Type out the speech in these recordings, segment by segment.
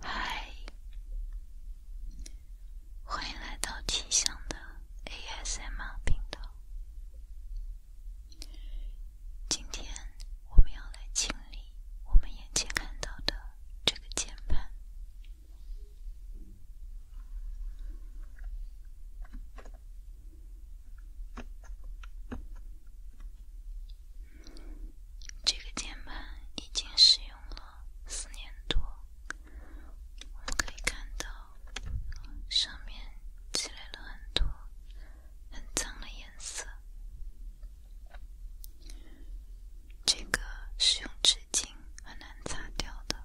嗨，欢迎来到清香的 ASM r 频道。今天我们要来清理我们眼前看到的这个键盘。这个键盘已经使用了四年多，我们可以看到上面积累了很多。很脏的颜色，这个是用纸巾很难擦掉的。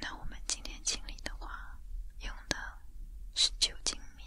那我们今天清理的话，用的是酒精棉。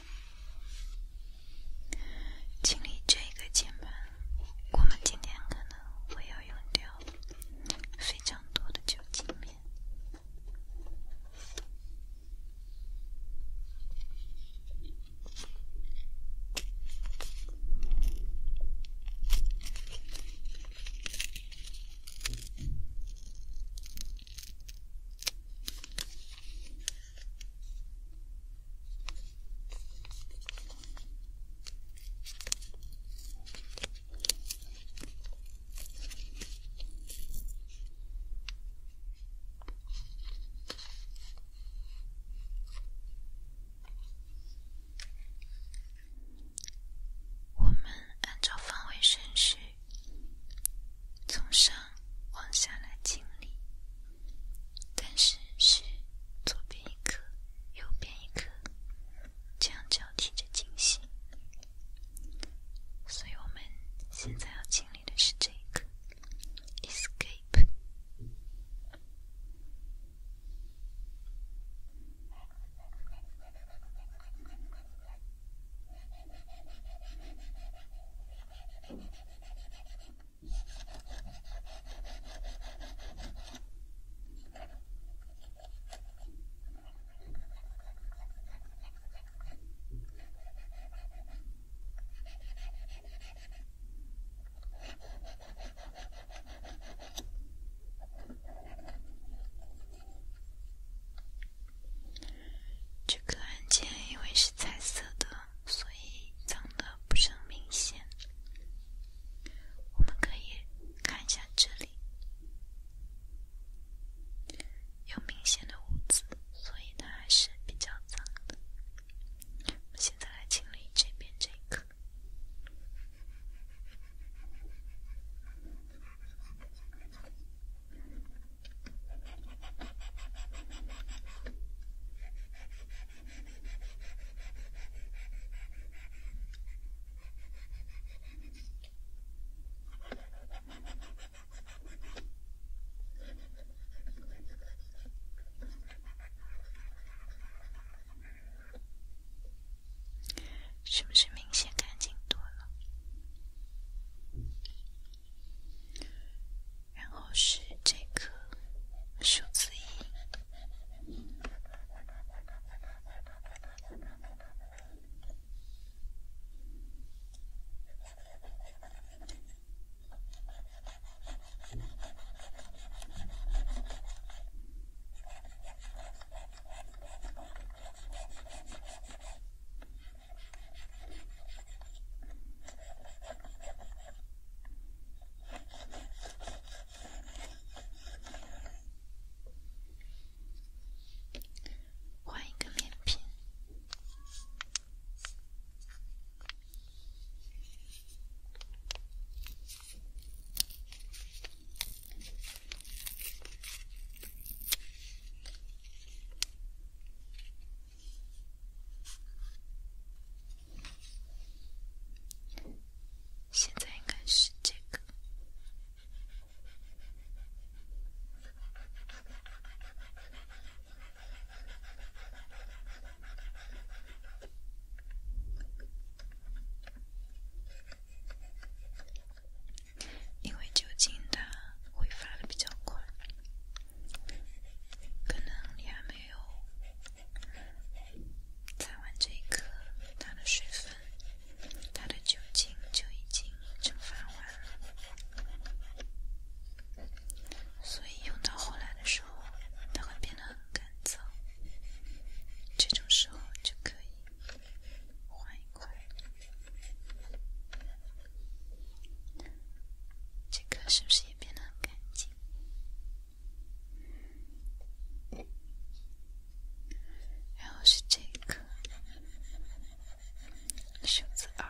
清理这个键盘，我们今天可能会要用掉非常多的酒精棉。我们按照方位顺序，从上往下来清理。但是是左边一颗，右边一颗，这样交替着进行。所以我们现在要经历的是这个 escape。这个按键因为是彩色的。所以脏的不是很明显，我们可以看一下这里有明显的污渍，所以它还是比较脏的。我们现在来清理这边这个。是不是明显干净多了？然后是这个数字一。换一个面皮。现在应该是这个，因为酒精它挥发的比较快，可能你还没。没有擦完这一颗，它的水分、它的酒精就已经蒸发完了，所以用到后来的时候，它会变得很干燥。这种时候就可以换一块。这颗是不是？也变得很干净，然后是这个，数字二。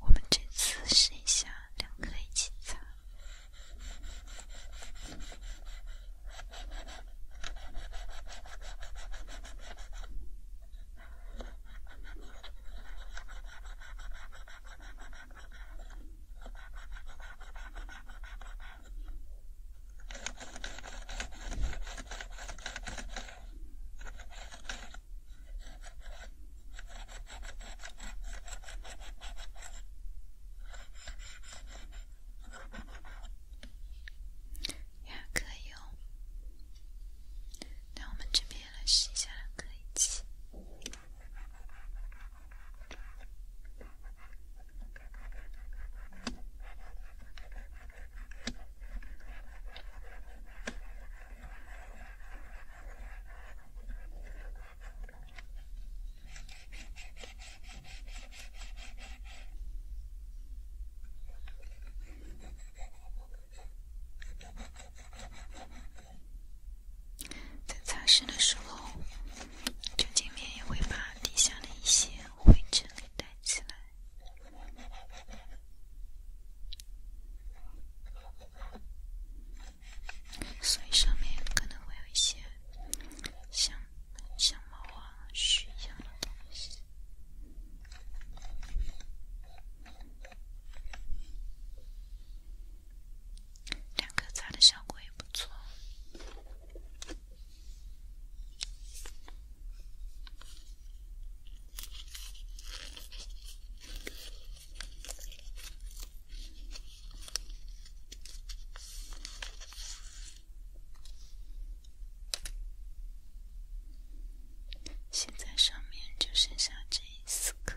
我们这次试一下，两个一起擦。也可以哦，那我们这边来试一下，可以起。在擦拭的时候，酒精棉也会把底下的一些。灰尘里带起来，所以上面可能会有一些像像毛啊、须一样的东西。两颗擦的效果也不错。现在上面就剩下这一四颗。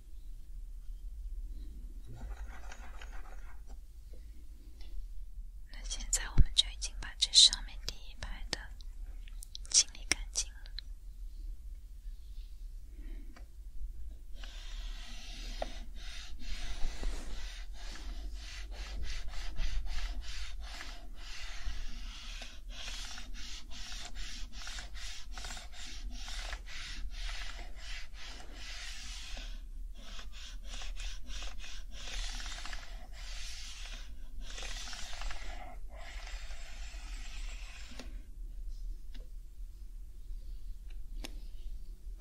那现在我们就已经把这上面第一排的清理干净了。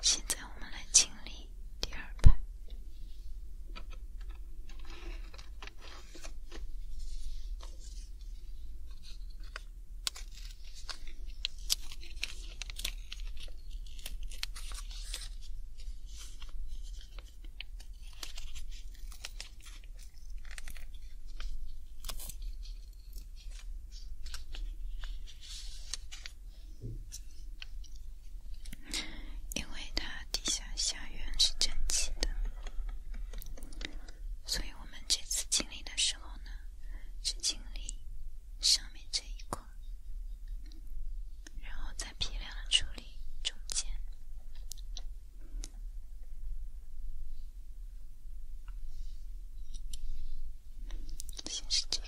现在我们来清理第二排。因为它地下下缘是蒸汽的，所以我们这次清理的时候呢。是清理上面这一块，然后再批量的处理中间。先是这个。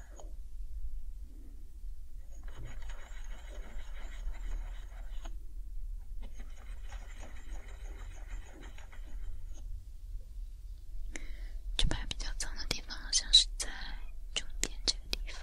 这排比较脏的地方，像是在中间这个地方。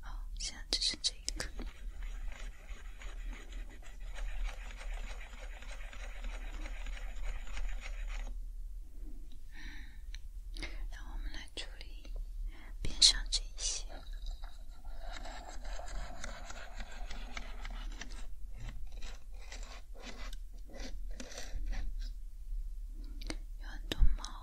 好，现在只剩这一个。让我们来处理边上这一些，有很多猫。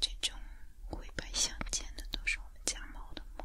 这种灰白相间的都是我们家猫的猫。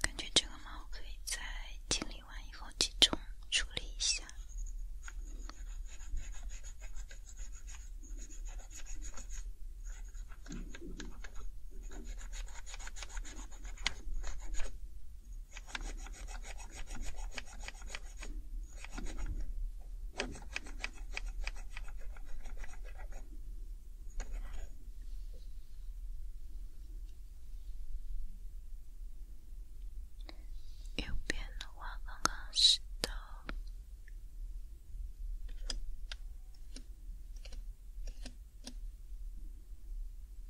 感觉这个毛可以在清理完以后集中处理一下。右边的话刚刚是的。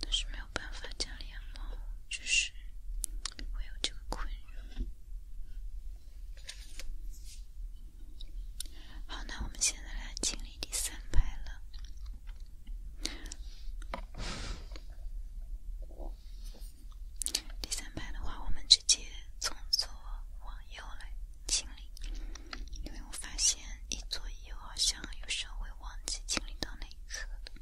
但是没有办法，家里养猫就是会有这个困扰。好，那我们现在来清理第三排了。第三排的话，我们直接从左往右来清理，因为我发现一左一右好像有稍微忘记清理到哪一颗了。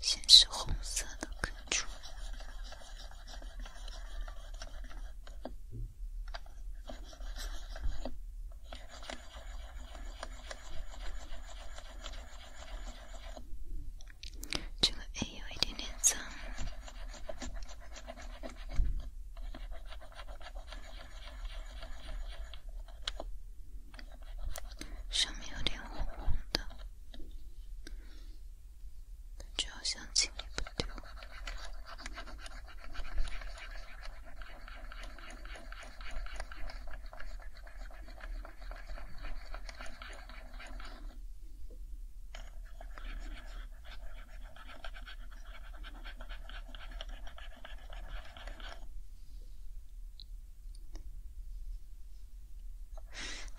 先是红色的根柱，这个 A 有一点点脏。上面有点红红的，就好像清理不掉。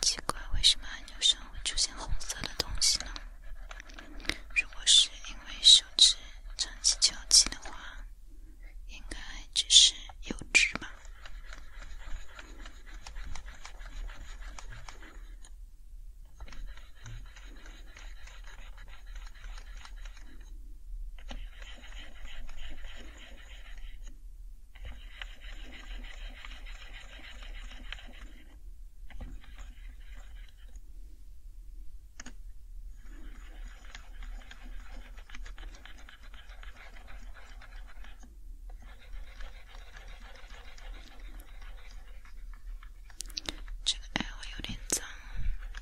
奇怪，为什么按钮上会出现红色的东西呢？如果是因为手指长期敲击的话，应该只是油脂吧。这个耳环有点脏。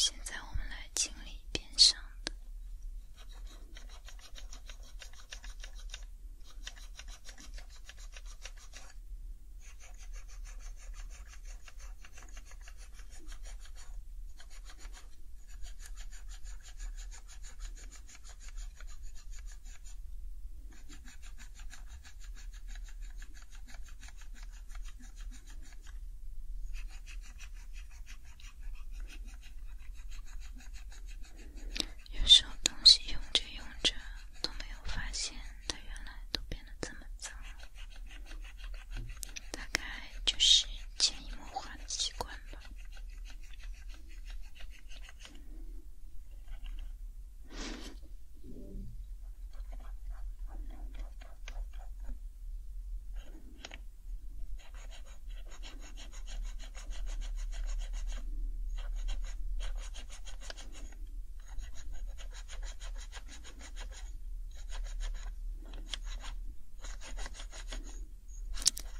现在我们来清理边上的。有时候东西用着用着都没有发现，它原来都变。这么早，大概就是潜移默化的习惯吧。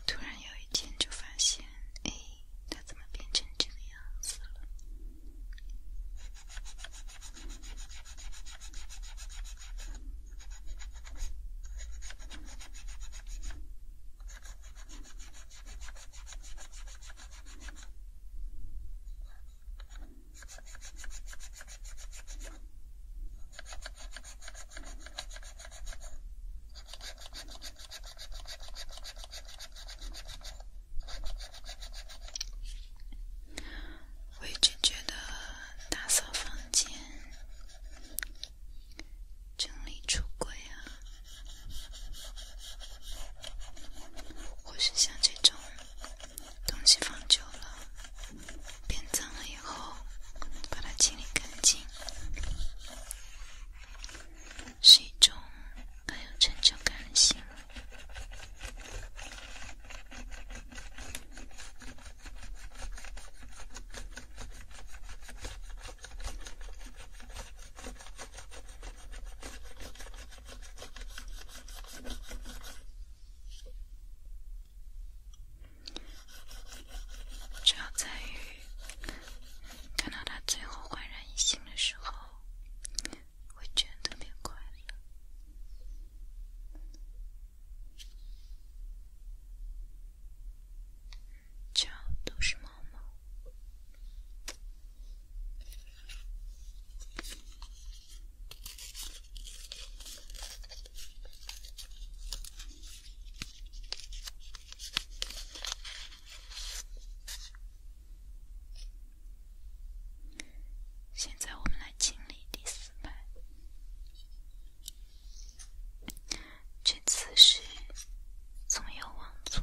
突然有一天，就发现，哎，它怎么变成这个样子了？我一直觉得打扫房间、整理橱柜啊，或是像这种。东西放久了变脏了以后，把它清理干净，是一种很有成就感的行为。主要在于看到他最后焕然一新的时候，会觉得特别快乐。主要都是猫猫。现在我们来清理第四排，这次是从右往左。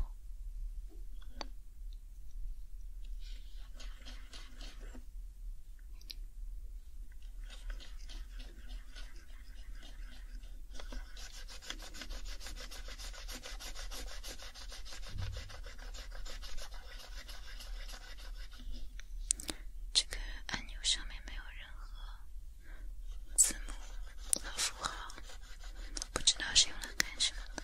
这个按钮上面没有任何字母和符号，不知道是用来干什么的。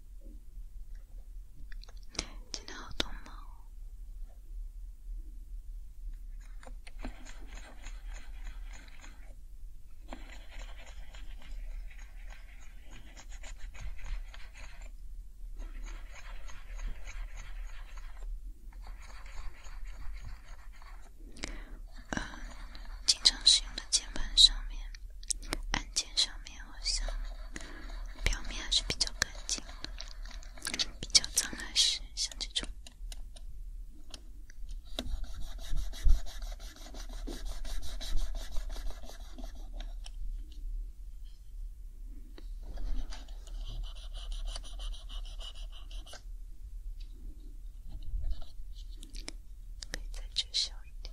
电脑电脑，呃，经常使用的键盘上面按键。上面好像表面还是比较干净的，比较脏的是像这种，可以再遮小一点。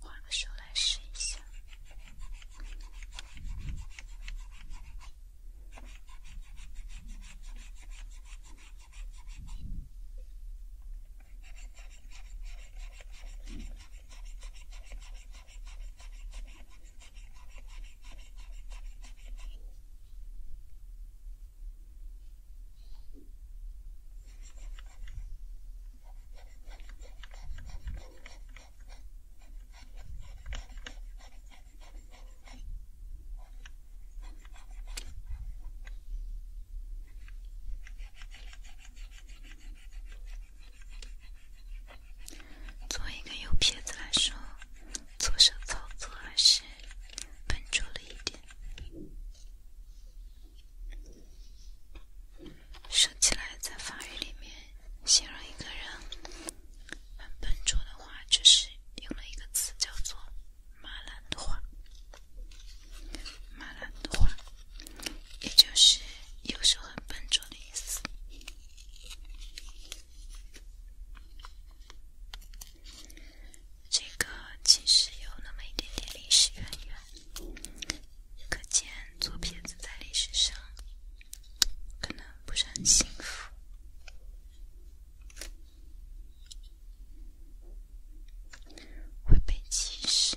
换个手来试一下。作为一个右撇子来说，左手操作还是笨拙了一点。说起来，在法语里面形容一个人很笨拙的话，就是用了一个词叫做“马兰的话”，“马兰的话”，也就是有时候很笨拙的意思。这个其实有那么一点点历史渊源，可见做骗子在历史上可能不是很幸福，会被歧视。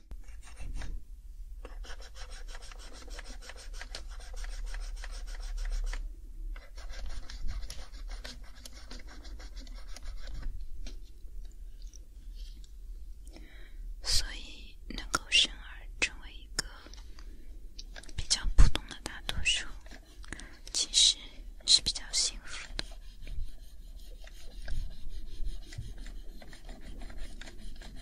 所以，能够生儿成为一个比较普通的大多数，其实是比较幸福的。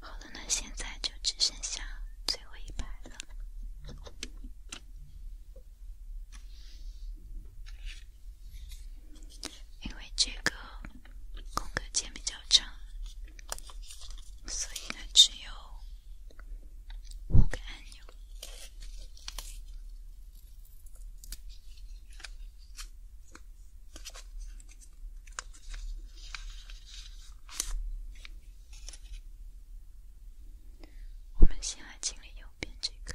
好了，那现在就只剩下最后一排了。因为这个空格键比较长，所以呢只有五个按键。我们先来清理右边这个。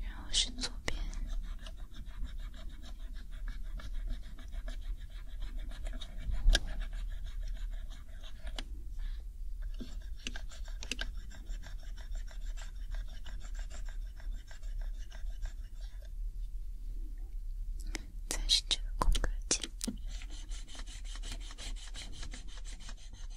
然后是左边，再是这个空格键。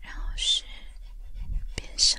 然后是变声。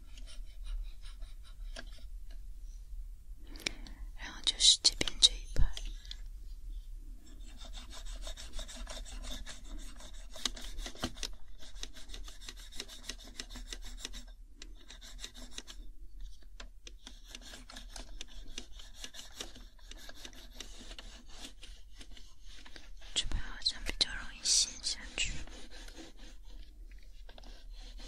然后就是这边这一排，这边好像比较容易陷下去。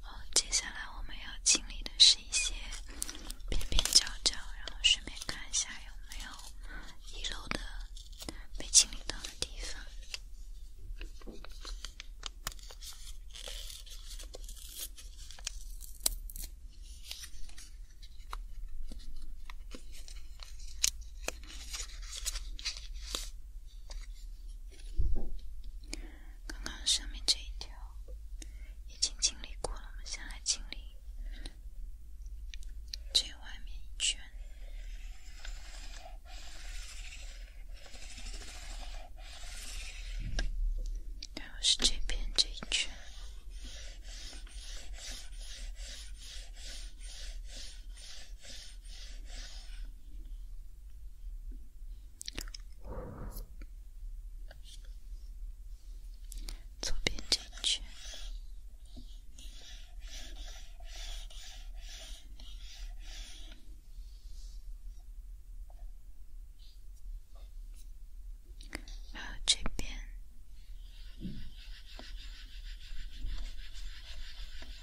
好，接下来我们要清理的是一些边边角角，然后顺便看一下有没有遗漏的被清理到的地方。刚刚下面这一条已经清理过了，我们先来清理这外面一圈，然后是这边这一圈。左边进去，然后这边。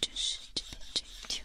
这是这这一条。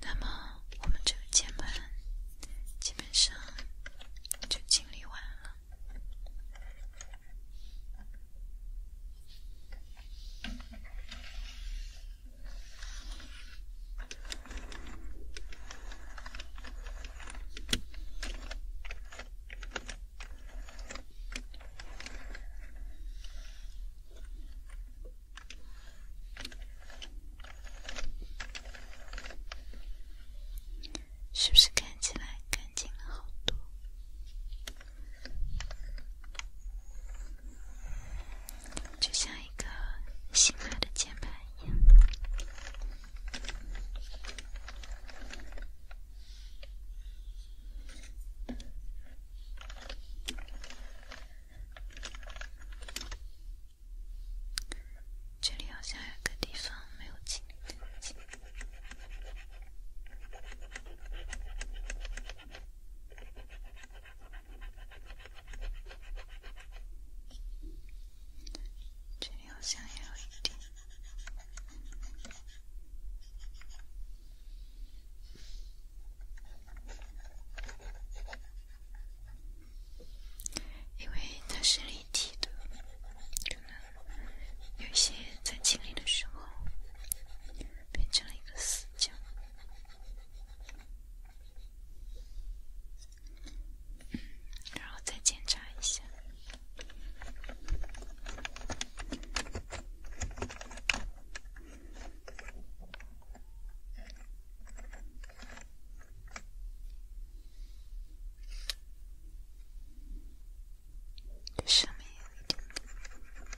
那么，我们这个键盘基本上就清理完了。是不是看起来干净了好多？就像一个新买的键盘一样，这里好像有个地方没有清。这好像也有一定，因为它是立体的，有一些在清理的时候变成了一个死角。然后再检查一下，什么也没有。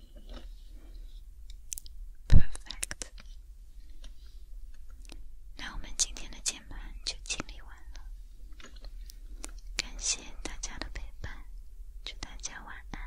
Perfect。那我们今天的键盘就清理完了，感谢大家的陪伴，祝大家晚安。